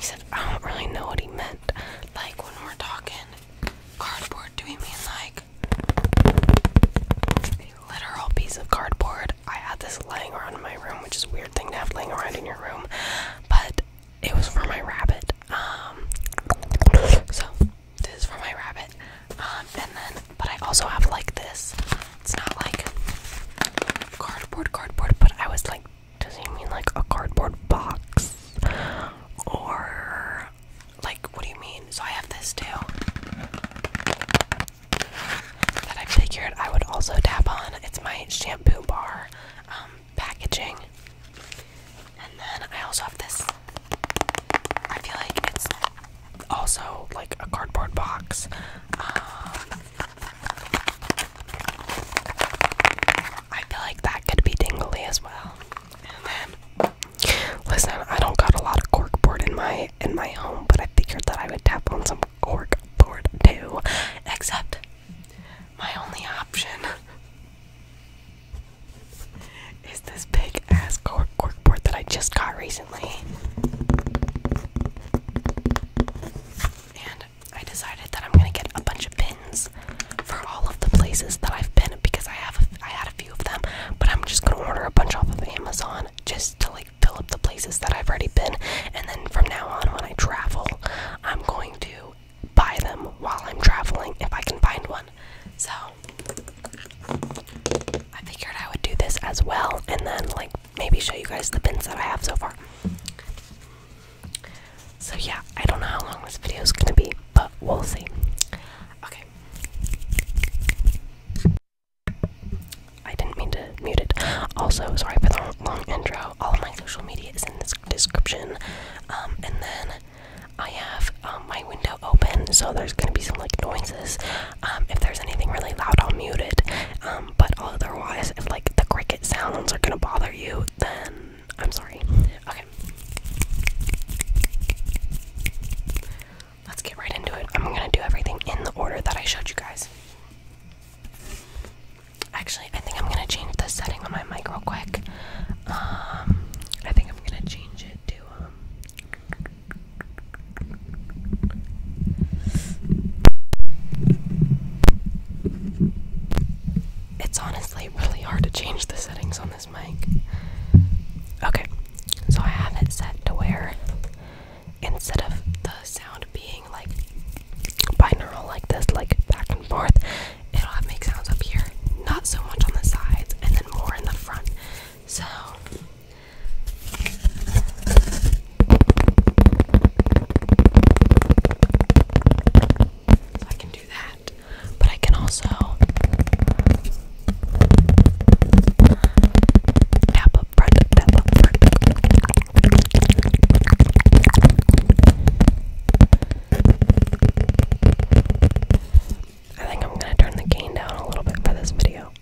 said, I don't really know what he meant. Like when we're talking cardboard, do we mean like literal piece of cardboard? I had this laying around in my room, which is a weird thing to have laying around in your room, but it was for my rabbit. Um, so this is for my rabbit. Um, and then, but I also have like this. It's not like cardboard, cardboard, but I was like does he mean like a cardboard box? Or like what do you mean? So I have this too. That I figured I would also tap on. It's my shampoo bar um, packaging. And then I also have this. I feel like it's also like a cardboard box. Um, I feel like that could be tingly as well. And then, listen, I don't got a lot of cork board in my in my home, but I figured that I would tap on some cork board too. Except my only option is this big ass cork cork board that I just got recently. And I decided that I'm gonna get a bunch of pins for all of the places that I've been because I have a, I had a few of them, but I'm just gonna order a bunch off of Amazon just to like fill up the places that I've already been, and then from now on when I travel, I'm going to buy them while I'm traveling if I can find one. So I figured I would do this as well, and then like maybe show you guys the pins that I have so far. So yeah, I don't know how long this video is gonna be, but we'll see. Okay. I didn't mean to mute it. Also, sorry for the long intro. All of my social media is in this description. Um, and then I have um, my window open, so there's gonna be some like noises. Um, if there's anything really loud, I'll mute it. but otherwise, if like the cricket sounds are gonna bother you, then I'm sorry. Okay. Let's get right into it. I'm gonna do everything in the order that I showed you guys. Actually, I think I'm gonna change the setting on my mic real quick. Um, I think I'm gonna change it to um, it's honestly really hard to change the settings on this mic. Okay, so I have it set to where instead of the sound being like binaural, like this, like back and forth, it'll make sounds up here, not so much on the sides, and then more in the front. So. So I can do that. But I can also tap up front, tap up front. I think I'm gonna turn the gain down a little bit for this video.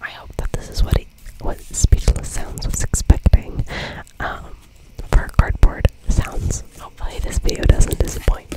I hope that this is what it, what Speechless Sounds was expecting um, for cardboard sounds. Hopefully this video doesn't disappoint.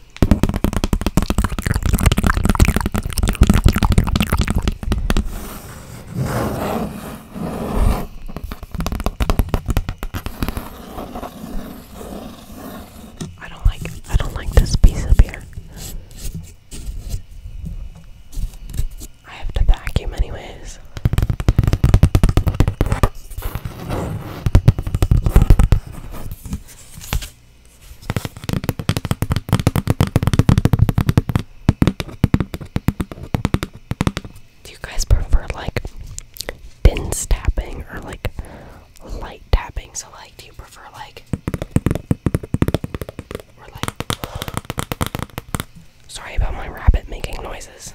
I don't like I don't like this piece of beer. I have to vacuum anyways. Do you guys prefer like dense tapping or like light tapping? So, like, do you prefer like or like sorry about my rabbit making noises.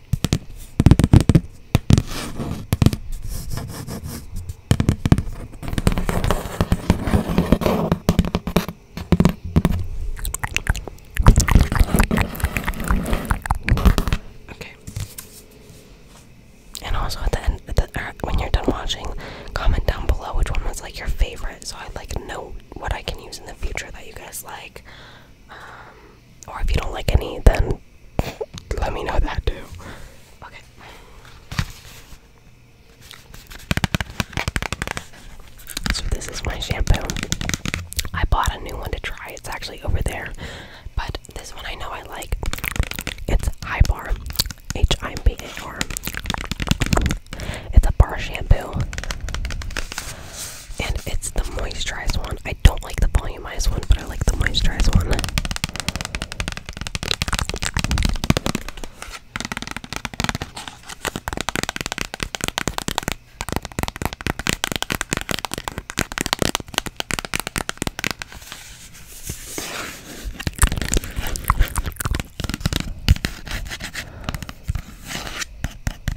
Okay. And also at the end, when you're done watching, comment down below which one was like your favorite, so I like know what I can use in the future that you guys like. Um, or if you don't like any, then let me know that too. Okay. So this is my shampoo. I bought a new one to try. It's actually over there. But this one I know I like. It's Ibar. H I B A R. It's a bar shampoo. And it's the moisturized one. I don't like the volumized one, but I like the moisturized one.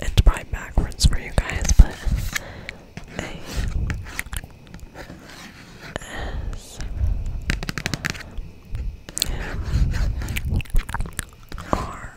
It's probably backwards for you guys, but A S M R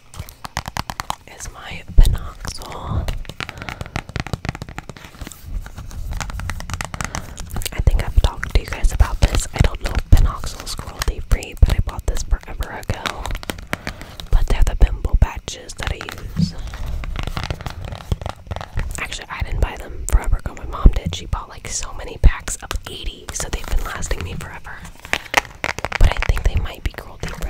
is my Pinoxol. I think I've talked to you guys about this. I don't know if Pinoxol's cruelty free, but I bought this forever ago. But they're the bimbo patches that I use. Actually, I didn't buy them forever ago. My mom did. She bought like so many packs of 80 so they've been lasting me forever. But I think they might be cruelty free.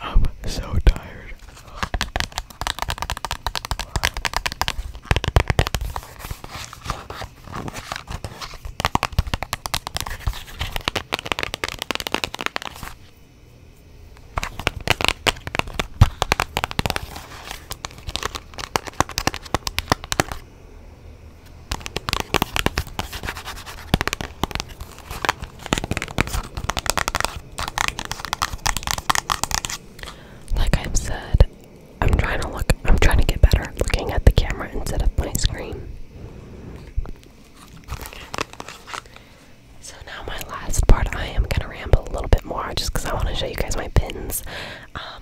I'm so tired. Like I've said, I'm trying to look, I'm trying to get better looking at the camera instead of my screen. So now my last part, I am gonna ramble a little bit more just because I want to show you guys my pins. Um,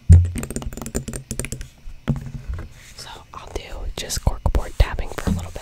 So I'll do just corkboard tapping for a little bit.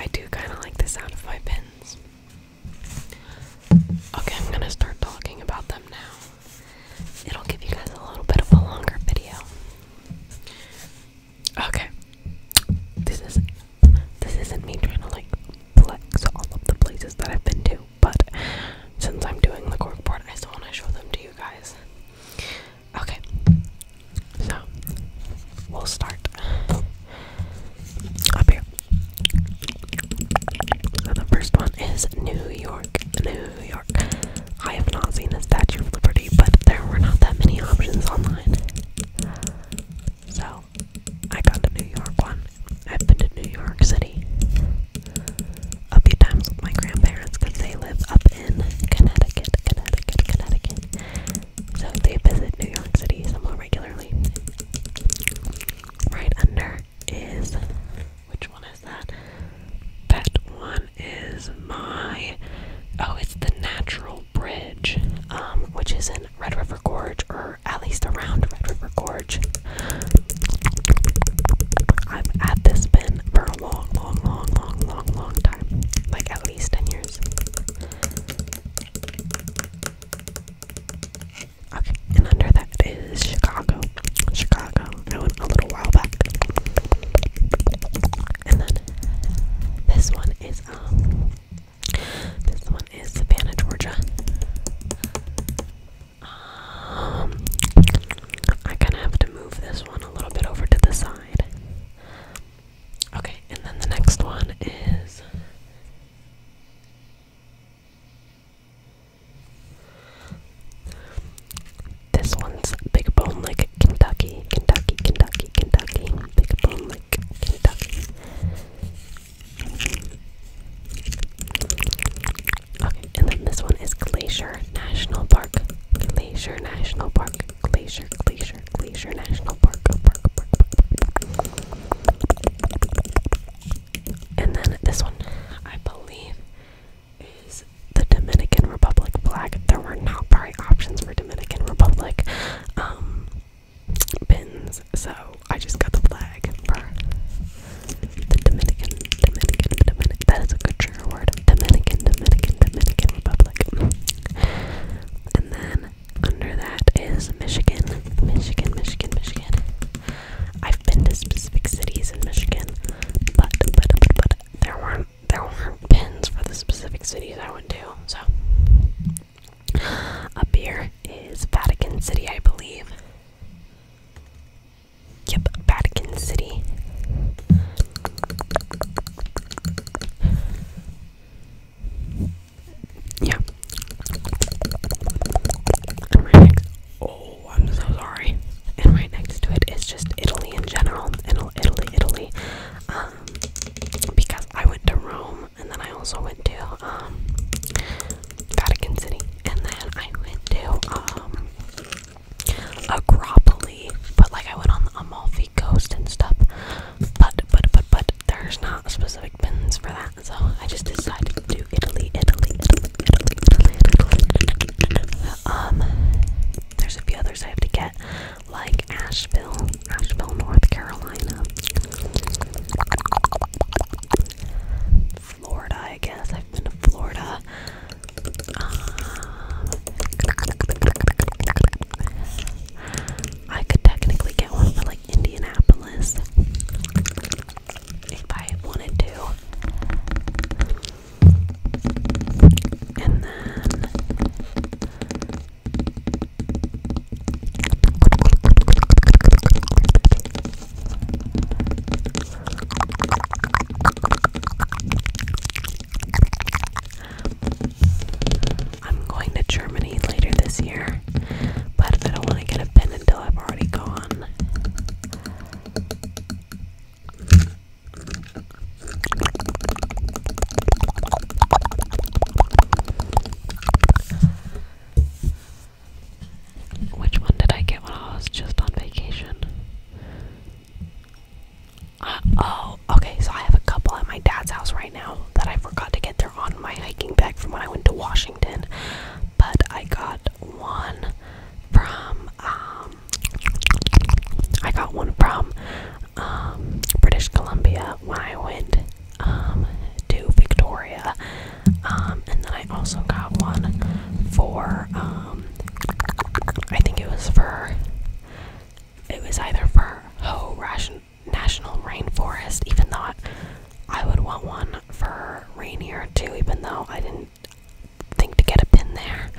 I do kind of like the sound of my pins. Okay, I'm gonna start talking about them now it'll give you guys a little bit of a longer video. Okay. This is this isn't me trying to like flex all of the places that I've been to, but since I'm doing the corkboard, I still want to show them to you guys. Okay. So we'll start up here. So the first one is New York, New New York. I have not seen a Statue of Liberty, but there were not that many options online. So, I got the New York one. I've been to New York City a few times with my grandparents because they live up in Connecticut, Connecticut, Connecticut. So, they visit New York City somewhat regularly. Right under is which one is that? That one is my oh, it's the Natural Bridge, um, which is in Red River Gorge, or at least around Red River Gorge. I've at this been for a long, long, long, long, long, long time, like at least ten years. Okay, and under that is Chicago. Chicago. I went a little while back. And then this one is um this one is Savannah, Georgia. Um I kinda have to move this one a little bit over to the side. Okay, and then the next one is this one's Big Bone like Kentucky, Kentucky, Kentucky, Kentucky, Big Bone like Kentucky. Okay, and then this one is Glacier National Park, Glacier National Park, Glacier, Glacier, Glacier National Park, Park, Park, Park. And then this one, I believe, is the Dominican Republic black. There were not probably options for Dominican Republic um, bins, so I just got the flag for the Dominican, Dominican, Dominican. That is a good trigger word. Dominican, Dominican, Dominican Republic. And then under that is Michigan, Michigan, Michigan, Michigan. I've been to specific cities in Michigan, but but but, but there weren't there weren't pins for the specific cities I went to. So up here is Vatican City, I believe. Yep, Vatican City. Yeah. Oh, I'm so sorry. And right next to it is just Italy in general. Italy, Italy. Italy. Um, because I went to Rome and then I also went to um, Vatican City and then I went to um, Agropoli. But like I went on the Amalfi Coast and stuff. But, but, but, but there's not specific bins for that so I just decided to do Italy, Italy, Italy, Italy, Italy, Italy. Um, there's a few others I have to get, like Asheville, Asheville, North Carolina, Florida. I guess I've been to Florida. Um, I could technically get one for like Indianapolis if I wanted to. And then I'm going to Germany later this year, but I don't want to get a pen until I've already gone. Which one did I get when I was just on vacation? Uh, oh, okay, so I have a couple at my dad's house right now that I forgot to get. They're on my hiking bag from when I went to Washington but I got one from um, I got one from um, British Columbia when I went um, to Victoria. and then I also got one for I think it was for it was either for Ho National Rainforest, even though I would want one for Rainier too, even though I didn't think to get a pin there.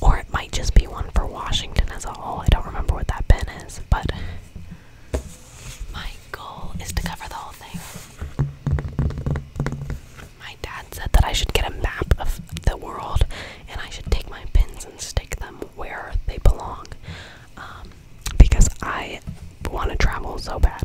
Or it might just be one for Washington as a whole. I don't remember what that pin is, but my goal is to cover the whole thing. My dad said that I should get a map of the world and I should take my pins and stick them where they belong um, because I want to travel so bad.